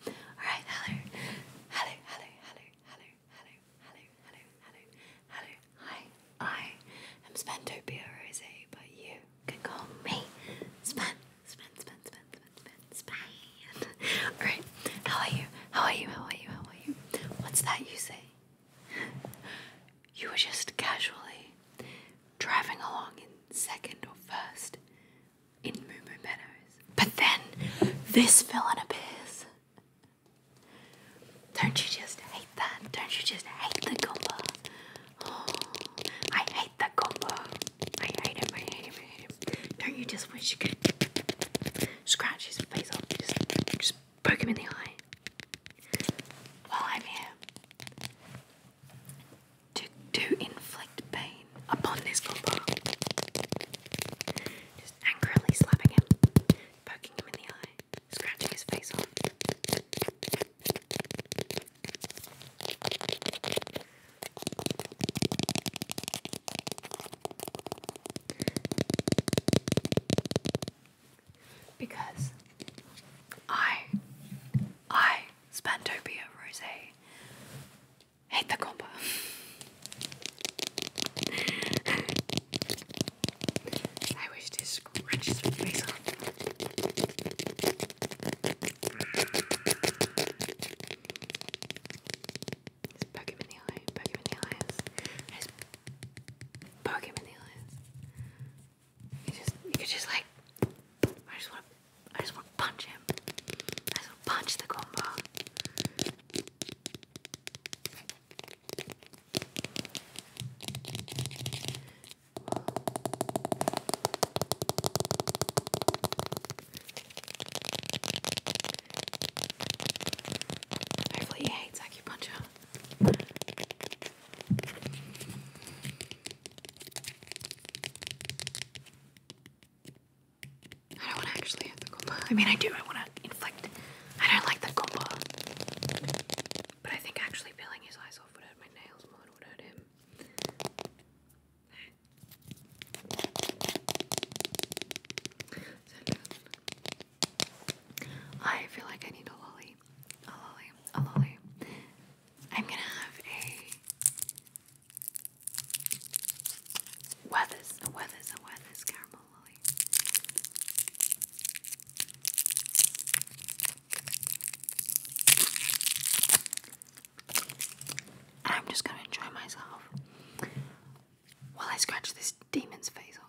Alright, hello. Hello, hello, hello, hello, hello, hello, hello, hello, hello. Hi, I am Spantopia Rose, but you can call me Span. Span, Span, Span, Span, Span, Alright, how are you? How are you? How are you? How are you? What's that you say? You were just casually driving along in second or first in Moo Moo Meadows. But then this villain appears. Don't you just hate that? Don't you just hate the Goomba? I hate the Goomba. I hate him, I hate him, I hate him. Don't you just wish you could scratch his face off, just, just poke him in the eye? While I'm here, to, to inflict pain upon this compa. Just angrily slapping him, poking him in the eye, scratching his face off. Because I, I, Spantopia Rose, Hate the combo. I wish this scratches my face off. Just poke him in the You just, you could just like, I just want I just want to punch him. I just want to punch the combo. Hopefully he hates acupuncture. I don't want to actually have the Goomba. I mean, I do. I want to inflict. I don't like the Goomba. But I think actually peeling his eyes off would my nails more would hurt him. I feel like I need a lolly. A lolly. A lolly. I'm gonna have a Weathers, Weathers, Weathers caramel I'm just gonna enjoy myself while I scratch this demon's face off.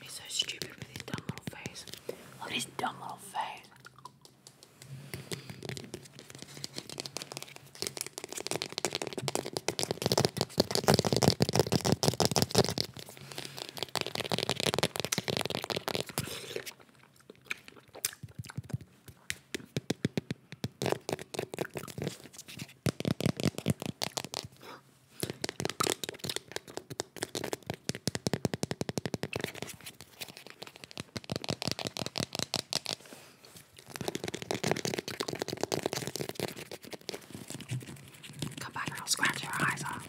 He's so stupid with his dumb little face. Look at his dumb little face. Come back and I'll scratch your eyes off.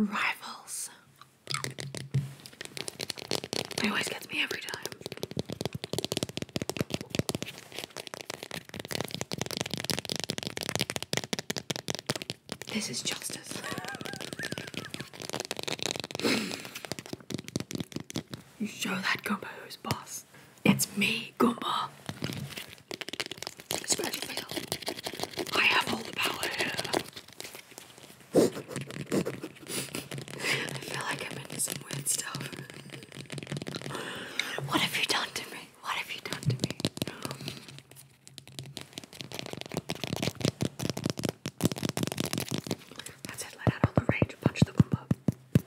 Rivals. It always gets me every time. This is justice. you show that Gumbo who's boss it's me, Goomba. Special fail. I have all the power here. I feel like I'm into some weird stuff. What have you done to me? What have you done to me? That's it, let out all the rage, punch the Goomba.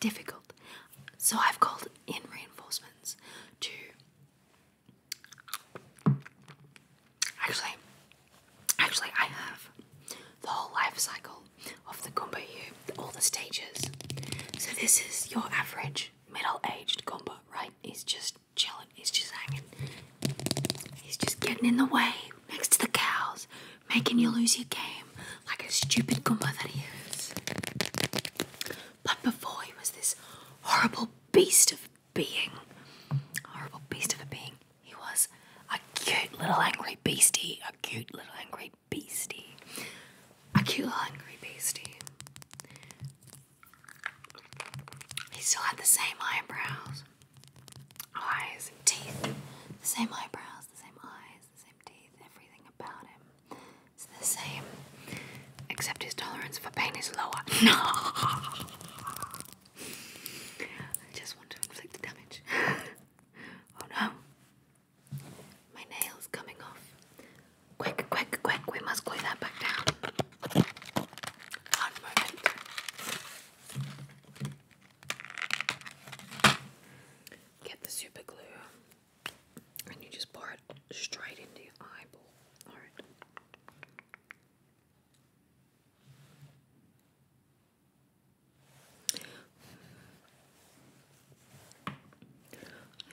difficult. So I've called in reinforcements to actually actually I have the whole life cycle of the gumbo here, all the stages. So this is your average middle-aged gumbo, right? He's just chilling, he's just hanging. He's just getting in the way next to the cows, making you lose your game like a stupid Goomba that he is. But before he was this horrible beast of being, horrible beast of a being, he was a cute little angry beastie, a cute little angry beastie, a cute little angry beastie. He still had the same eyebrows, eyes, teeth, the same eyebrows, the same eyes eyes, the same everything about him is the same, except his tolerance for pain is lower. No! I just want to inflict damage. oh no! My nail's coming off. Quick, quick, quick, we must glue that back down. Get the super glue and you just pour it straight into your eyeball. Alright.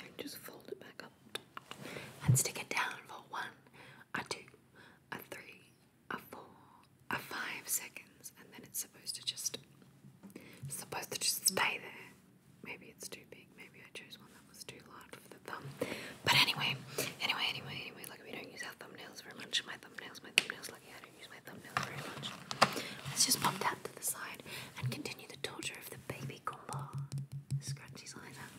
And just fold it back up and stick it down for one, a two, a three, a four, a five seconds, and then it's supposed to just supposed to just stay there. Maybe it's too big. Maybe I chose one that was too large for the thumb. But anyway, anyway, anyway, anyway. Like we don't use our thumbnails very much. My thumbnails, my thumbnails. Like I don't use my thumbnails very much. Let's just pop that to the side and continue the torture of the baby combo. Scratch his eye out.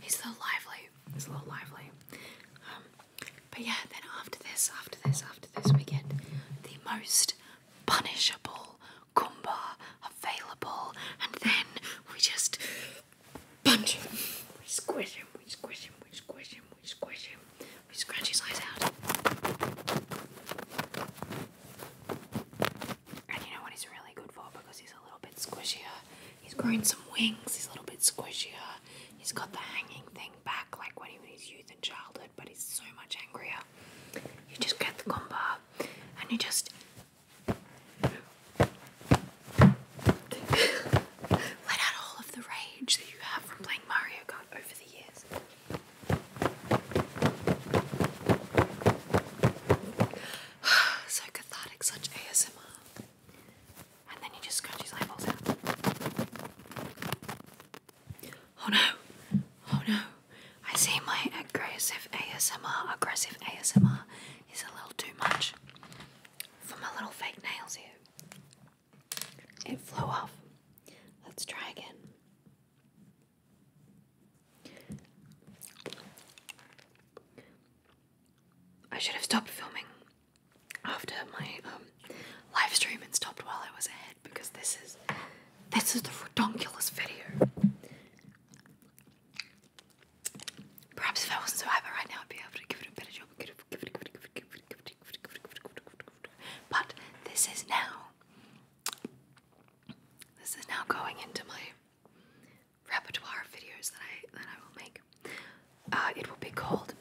He's so lively. He's a little lively. Um, but yeah, then after this, after this, after this, we get the most punishable Kumba available, and then we just punch him. We squish him, we squish him, we squish him, we squish him, we scratch his eyes out. And you know what he's really good for because he's a little bit squishier. He's growing some wings, he's a little bit squishier. He's got the hanging thing back like when he was his youth and childhood, but he's so much angrier. You just get the combo and you just let out all of the rage that you have from playing Mario Kart over the years. so cathartic, such ASMR. And then you just scratch his eyeballs out. Oh no, oh no. I see my aggressive ASMR, aggressive ASMR is a little too much for my little fake nails here. It flew off. Let's try again. I should have stopped filming after my um, live stream and stopped while I was ahead because this is this is the redonkulous video. Perhaps if I wasn't so hyper right now, I'd be able to give it a better job. But this is now. This is now going into my repertoire videos that I that I will make. Uh, it will be called.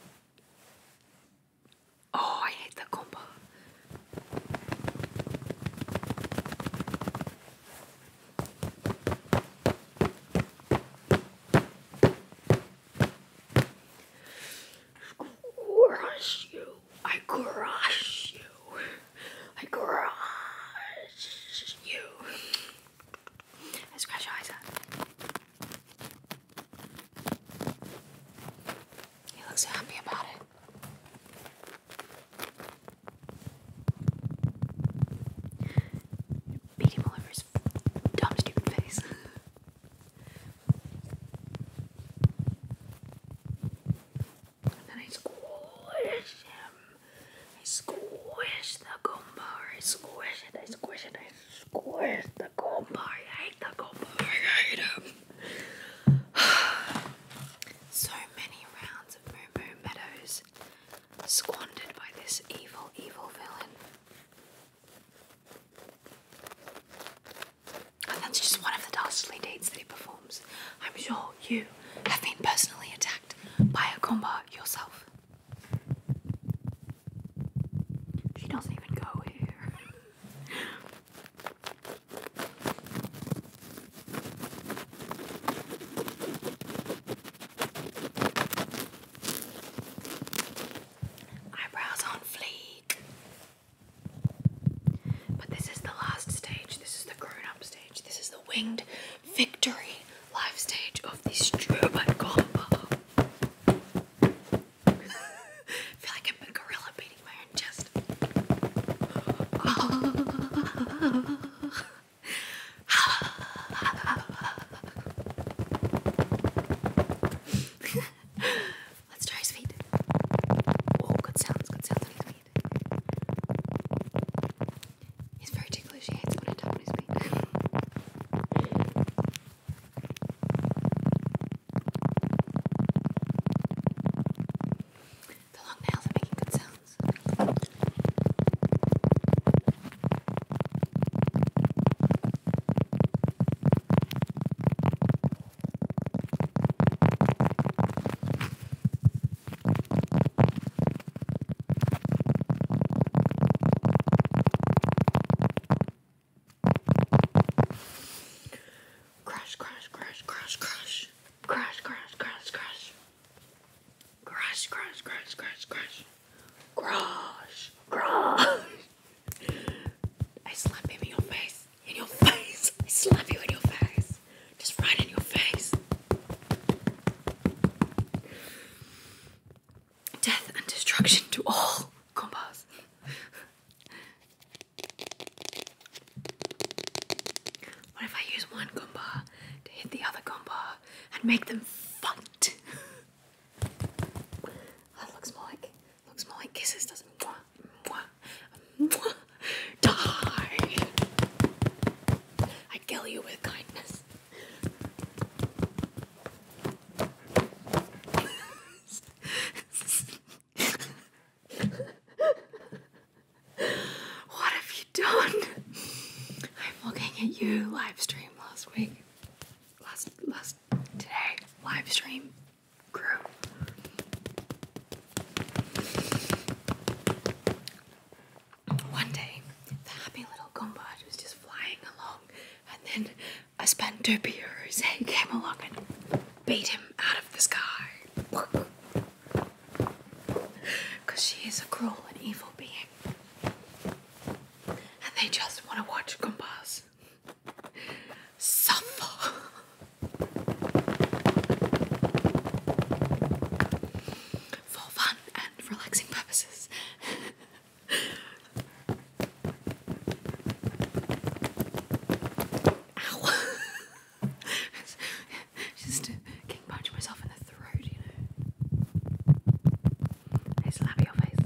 Oh, I hate that combo. Crush you! I crush you! like garage you. I scratch your eyes out. He looks happy about it. Beat him over his dumb stupid face. And I squish him. I squish the gumbar. I squish it. I squish it. I squish the gumbar. I hate the gumbar. I hate him. so many rounds of Moo Moo Meadows squandered by this evil, evil villain. And that's just one of the dastardly deeds that he performs. I'm sure you have been personally attacked by a combat yourself. She doesn't even go here. Eyebrows on fleek. But this is the last stage. This is the grown up stage. This is the winged victory live stage of the Stubert combo. I feel like I'm gorilla beating my own chest. Let's try his feet. Oh, good sounds, good sounds. He's very ticklish. He hates when I tap on his feet. The long nails are making good sounds. Crash, crash, crash, crash, crash. Crash, crash, crash, crash. Crash, crash, crash, crash, crash. Crash, crash. I slapped him in your face. In your face. slap you in your face. Just right in your face. Death and destruction to all compas. What if I use one compa to hit the other compa and make them fight? that looks more like looks more like kisses, doesn't it? die. I kill you with kindness. what have you done? I'm looking at you live stream last week. Last last today live stream. One day, the happy little Gumbad was just flying along, and then a Spandopia Rose came along and beat him out of the sky. Because she is a cruel and evil being. And they just want to watch Gumbas suffer for fun and relaxing purposes. Just uh, getting myself in the throat, you know. I slap your face.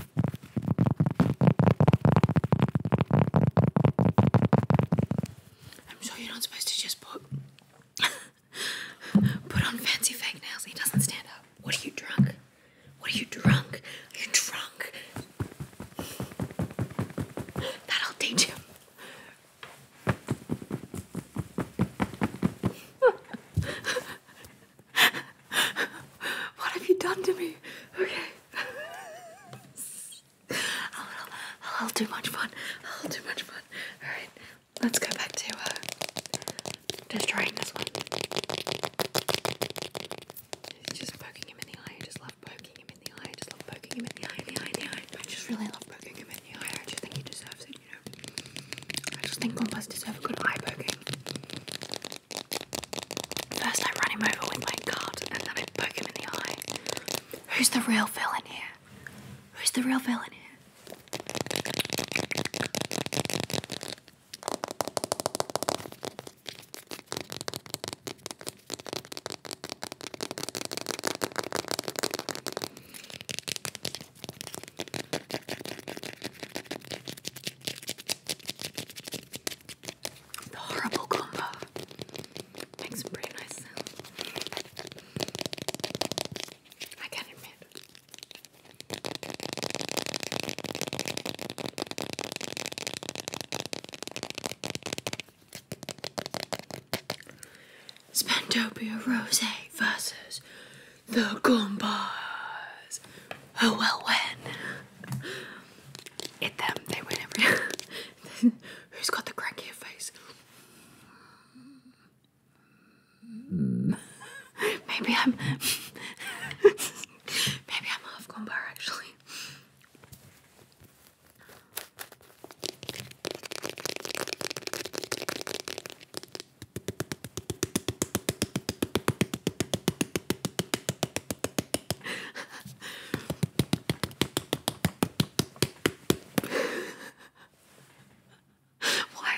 I'm sure you're not supposed to just put put on fancy fake nails. He doesn't stand up. What are you drunk? What are you drunk? Are you drunk? That'll teach him. what have you done to me? Okay. I'll, I'll, i do much fun. I'll do much fun. Alright, let's go back to uh, just trying this one. Just poking him in the eye. I just love poking him in the eye. I just love poking him in the eye, the eye, in the eye. I just really love poking him in the eye. I just think he deserves it, you know? I just think Compass deserve a good eye poking. First, I run him over with my cart, and then I poke him in the eye. Who's the real villain here? Who's the real villain here? The horrible combo makes a pretty nice sound. I can admit. Spentopia Rose versus the gumbars. Oh well, when Hit them. They win every. Who's got the crankier face? Maybe I'm. Maybe I'm half Goomba actually. Why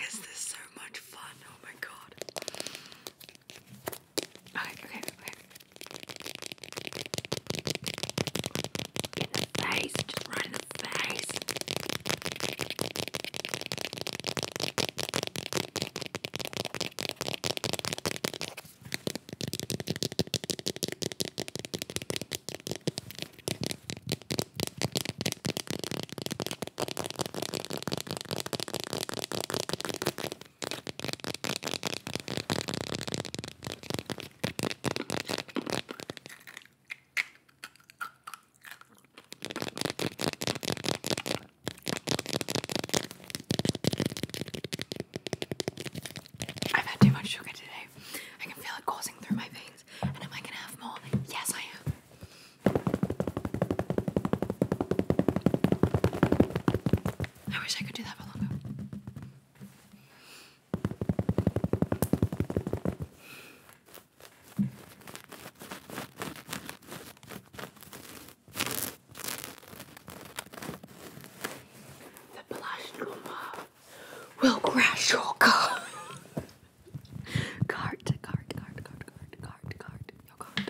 is this so much fun? Oh my god. Okay, okay, okay. In the face, just right in his face. I've had too much sugar today. I can feel it coursing through my veins. And am I gonna have more? Yes, I am. I wish I could do that for longer. The plush will crash your car. cart, cart, cart, cart, cart, cart, cart, your cart.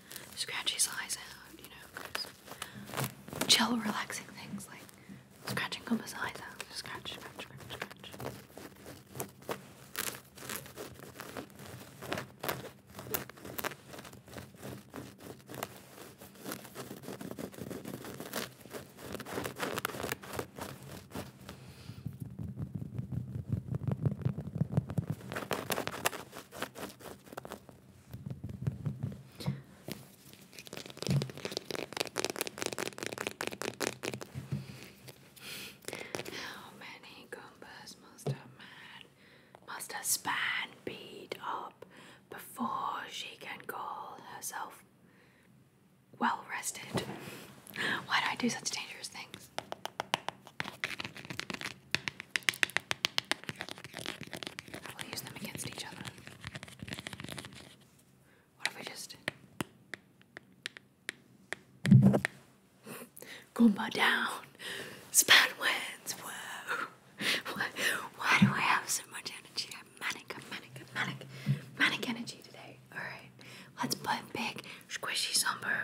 scratch his eyes out, you know, chill, relaxing things like scratching Goomba's eyes out. Scratch, scratch, scratch, scratch. How many Goombas must a man, must a span beat up before she can call herself well rested? Why do I do such dangerous things? I will use them against each other. What if we just Goomba down? Span wins. Whoa. Why, why do I have so much energy? I'm manic, manic, manic, manic energy today. Alright, let's put big, squishy, somber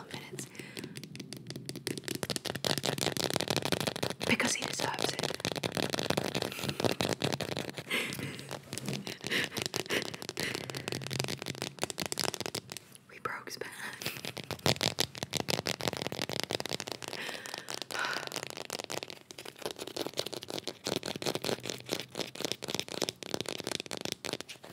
because he deserves it. we broke Span.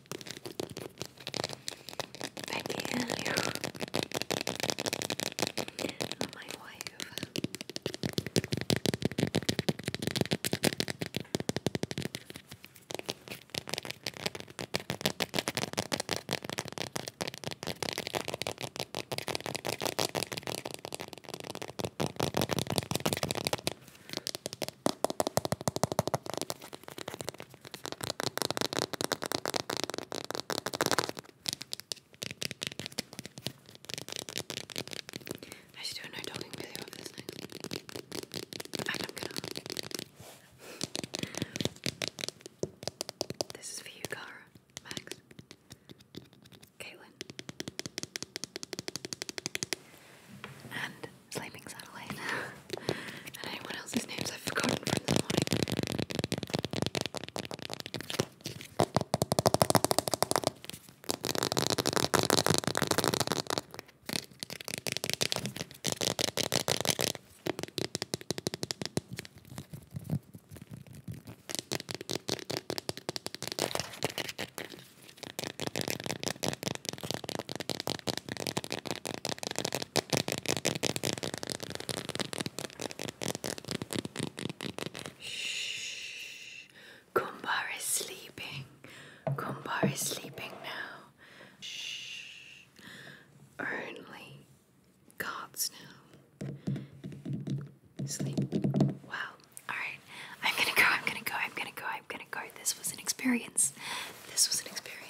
Becky Elliot, my wife. I should do a no talking video of this thing. I'm gonna. this is for you, Cara, Max, Caitlin, and Sleeping satellite. and anyone else's names I've forgotten from this morning. Shh. Kumbar is sleeping. Kumbar is sleeping now. Shh. Only gods know. Sleep. Wow. Alright. I'm gonna go. I'm gonna go. I'm gonna go. I'm gonna go. This was an experience. This was an experience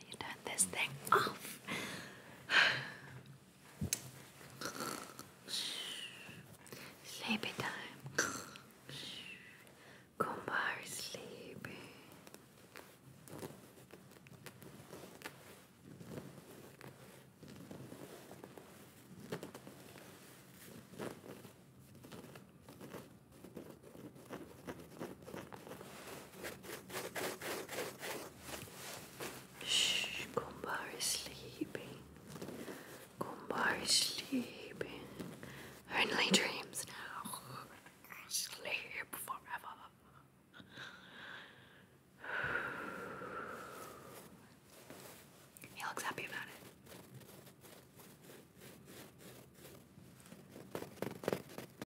you turn this thing off? Sleepy time. Kumbar is sleepy. Shh, Kumbar is sleeping. Kumbar is sleeping. Only dreams now. Sleep forever. He looks happy about it.